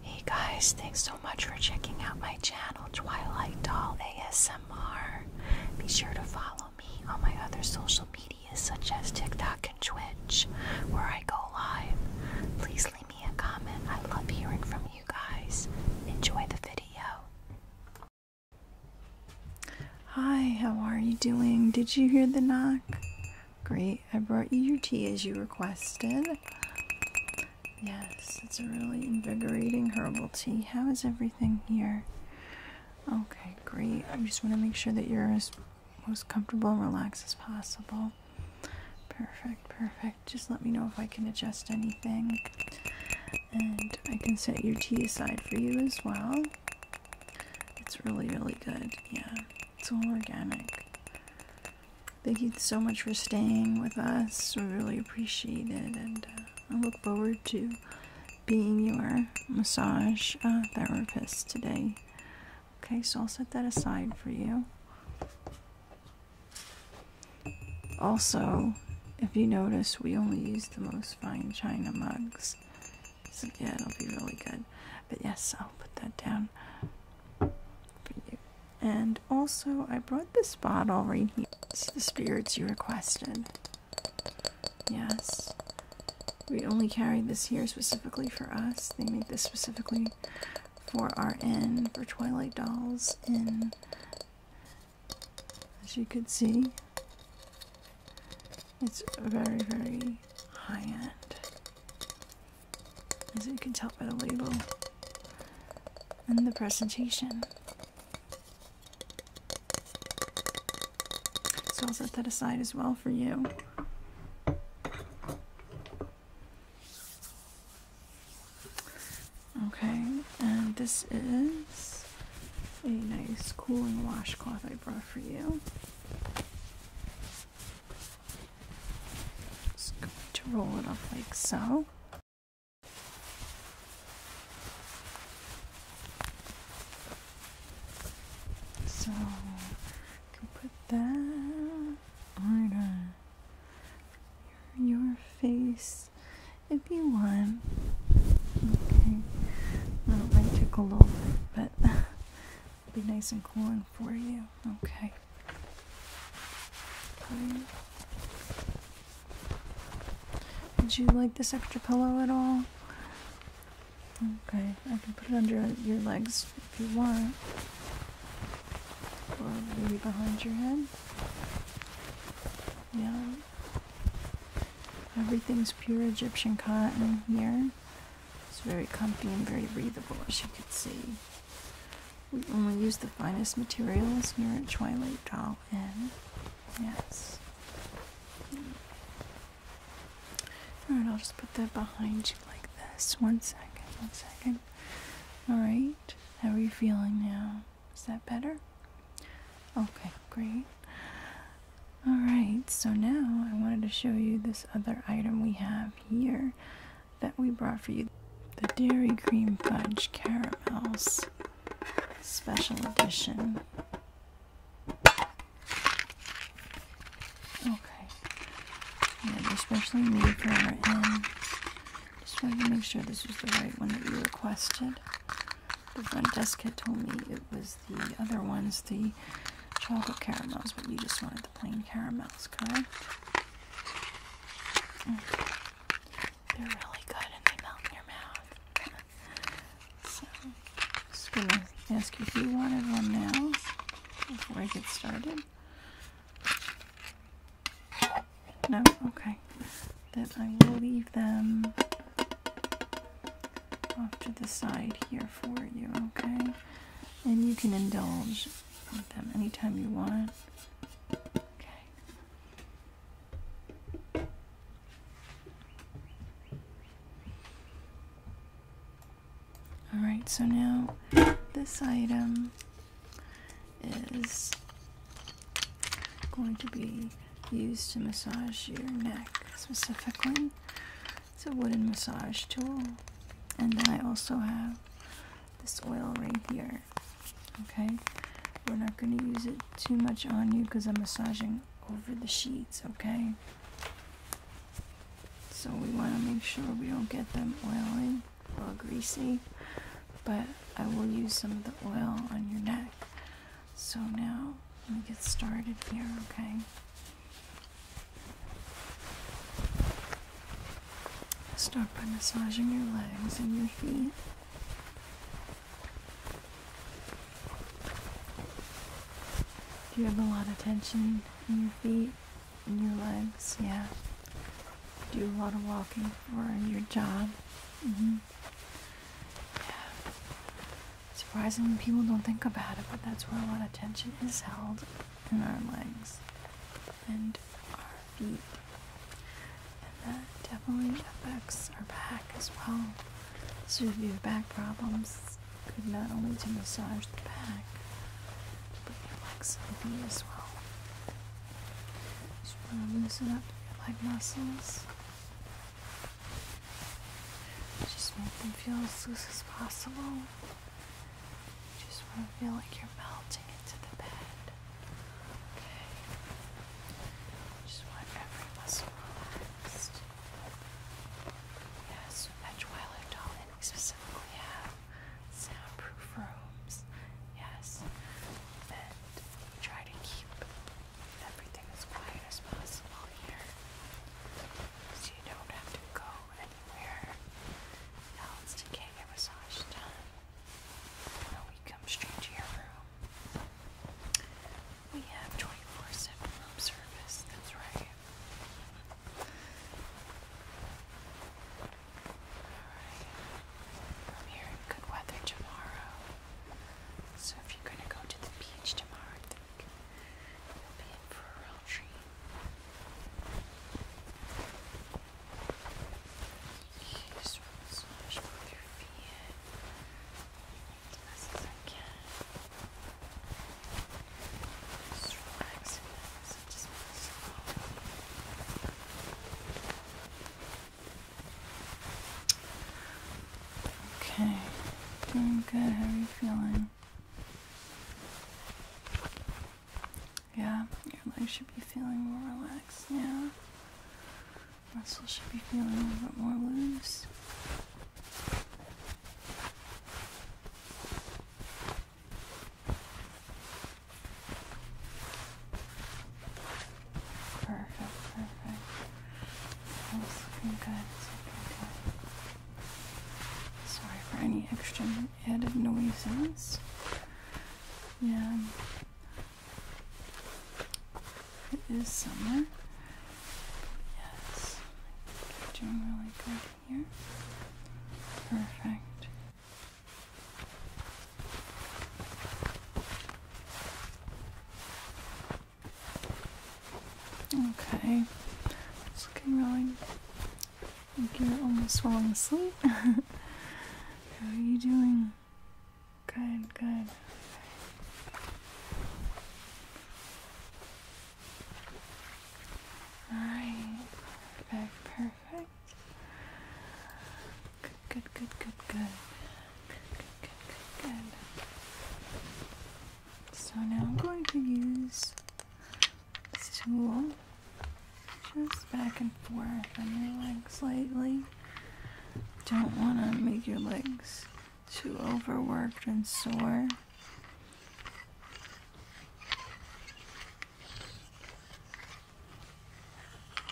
Hey guys, thanks so much for checking out my channel, Twilight Doll ASMR. Be sure to follow me on my other social medias such as TikTok and Twitch, where I go live. Please leave me a comment. I love hearing from you guys. Enjoy the video. Hi, how are you doing? Did you hear the knock? Great. I brought you your tea as you requested. Yes, it's a really invigorating herbal tea. How is everything here? Okay, great. I just want to make sure that you're as most comfortable and relaxed as possible. Perfect, perfect. Just let me know if I can adjust anything. And I can set your tea aside for you as well. It's really, really good. Yeah, it's all organic. Thank you so much for staying with us. We really appreciate it, and uh, I look forward to being your massage uh, therapist today. Okay, so I'll set that aside for you. Also, if you notice, we only use the most fine china mugs. So, yeah, it'll be really good. But yes, I'll put that down. And also, I brought this bottle right here. It's the spirits you requested. Yes. We only carry this here specifically for us. They make this specifically for our inn, for Twilight Dolls And As you could see, it's very, very high end as you can tell by the label and the presentation. So I'll set that aside as well for you. Okay, and this is a nice cooling washcloth I brought for you. Just going to roll it up like so. So put that on your, face if you want. Okay, I don't like to glow, but be nice and cool for you. Okay. okay. Did you like this extra pillow at all? Okay, I can put it under your legs if you want. Or maybe behind your head. Yeah. Everything's pure Egyptian cotton here. It's very comfy and very breathable, as you can see. We only use the finest materials here at Twilight Doll Inn. Yes. Alright, I'll just put that behind you like this. One second, one second. Alright, how are you feeling now? Is that better? Okay, great. Alright, so now I wanted to show you this other item we have here that we brought for you. The Dairy Cream Fudge Caramels Special Edition. Okay. Yeah, especially are specially made for our end. Just wanted to make sure this was the right one that you requested. The front desk had told me it was the other ones, the chocolate caramels, but you just wanted the plain caramels, correct? Mm. They're really good and they melt in your mouth. so, I'm just gonna ask you if you wanted one now before I get started. No? Okay. Then I will leave them off to the side here for you, okay? And you can indulge with them anytime you want. Okay. Alright, so now this item is going to be used to massage your neck specifically. It's a wooden massage tool. And then I also have this oil right here. Okay, we're not going to use it too much on you because I'm massaging over the sheets. Okay, so we want to make sure we don't get them oily or greasy, but I will use some of the oil on your neck so now let me get started here, okay? Start by massaging your legs and your feet. Do you have a lot of tension in your feet and your legs? Yeah. Do a lot of walking for your job. Mm-hmm and Surprisingly, people don't think about it, but that's where a lot of tension is held in our legs and our feet. And that definitely affects our back as well. So if you have back problems, good not only to massage the back, but your legs and feet as well. Just want to loosen up your leg muscles. Just make them feel as loose as possible. just want to feel like you're melting into the bed. Okay. Just want every muscle relaxed. Yes, at Twilight Dolly, we specifically have soundproof rooms. Yes. And try to keep everything as quiet as possible here so you don't have to go anywhere else to get your massage done. we come straight to your room. We have 24-7 service, that's right. Alright. good weather tomorrow. So if you're gonna go to the beach tomorrow, I think you'll be in for a real treat. Just massage both your feet as best as I can. Just relax and just slowly. Okay, doing good. How are you feeling? Yeah, your legs should be feeling more relaxed now. Muscles should be feeling a little bit more loose. Perfect, perfect. That's looking good, it's looking good. Sorry for any extra added noises. Yeah. It is summer. Yes. doing really good here. Perfect. Okay, it's looking really. I think you're almost falling asleep. How are you doing? Good, good. Alright, perfect, perfect. Good, good, good, good, good. Good, good, good, good, So now I'm going to use this tool just back and forth on your legs slightly. Don't want to make your legs too overworked and sore.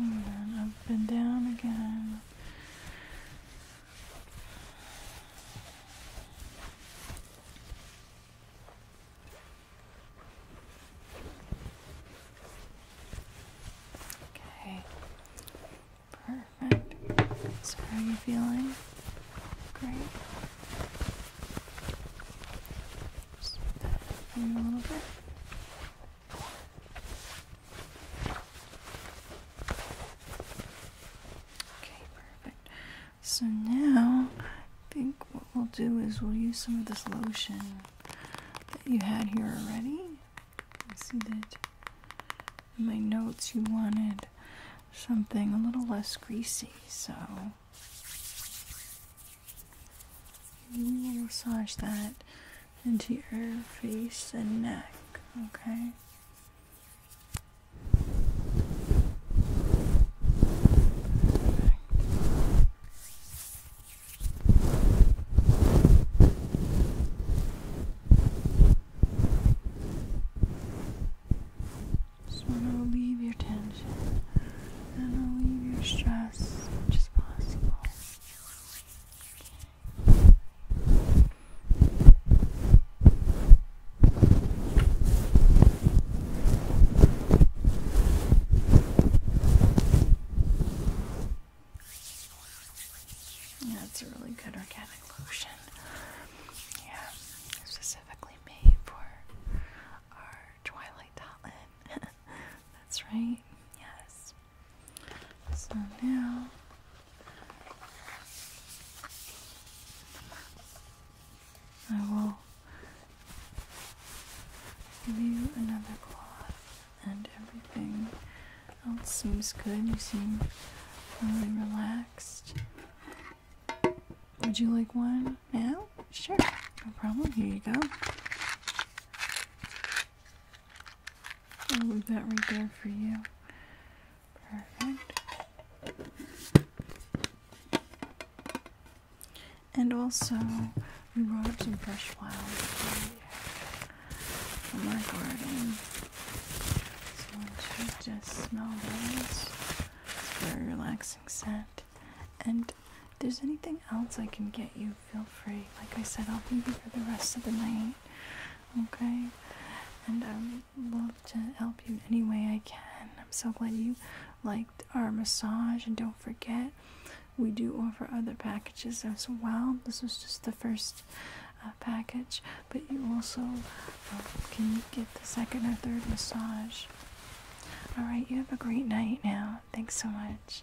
And then up and down again. Okay. Perfect. So how are you feeling? Great. Just a little bit. Okay, perfect. So now I think what we'll do is we'll use some of this lotion that you had here already. I see that in my notes you wanted something a little less greasy, so we will massage that into your face and neck, okay? Just want to relieve your tension and relieve your stress as much as possible. That's a really good organic lotion. Yeah, specifically made for our Twilight Dotland. That's right, yes. So now I will give you another cloth, and everything else seems good. You seem really relaxed. Would you like one now? Sure, no problem. Here you go. I'll leave that right there for you. Perfect. And also, we brought some fresh flowers from our garden. So I just smell those. It's very relaxing scent. And there's anything else I can get you, feel free. Like I said, I'll be here for the rest of the night. Okay? And um, love to help you any way I can. I'm so glad you liked our massage, and don't forget, we do offer other packages as well. This was just the first uh, package, but you also uh, can get the second or third massage. All right, you have a great night now. Thanks so much.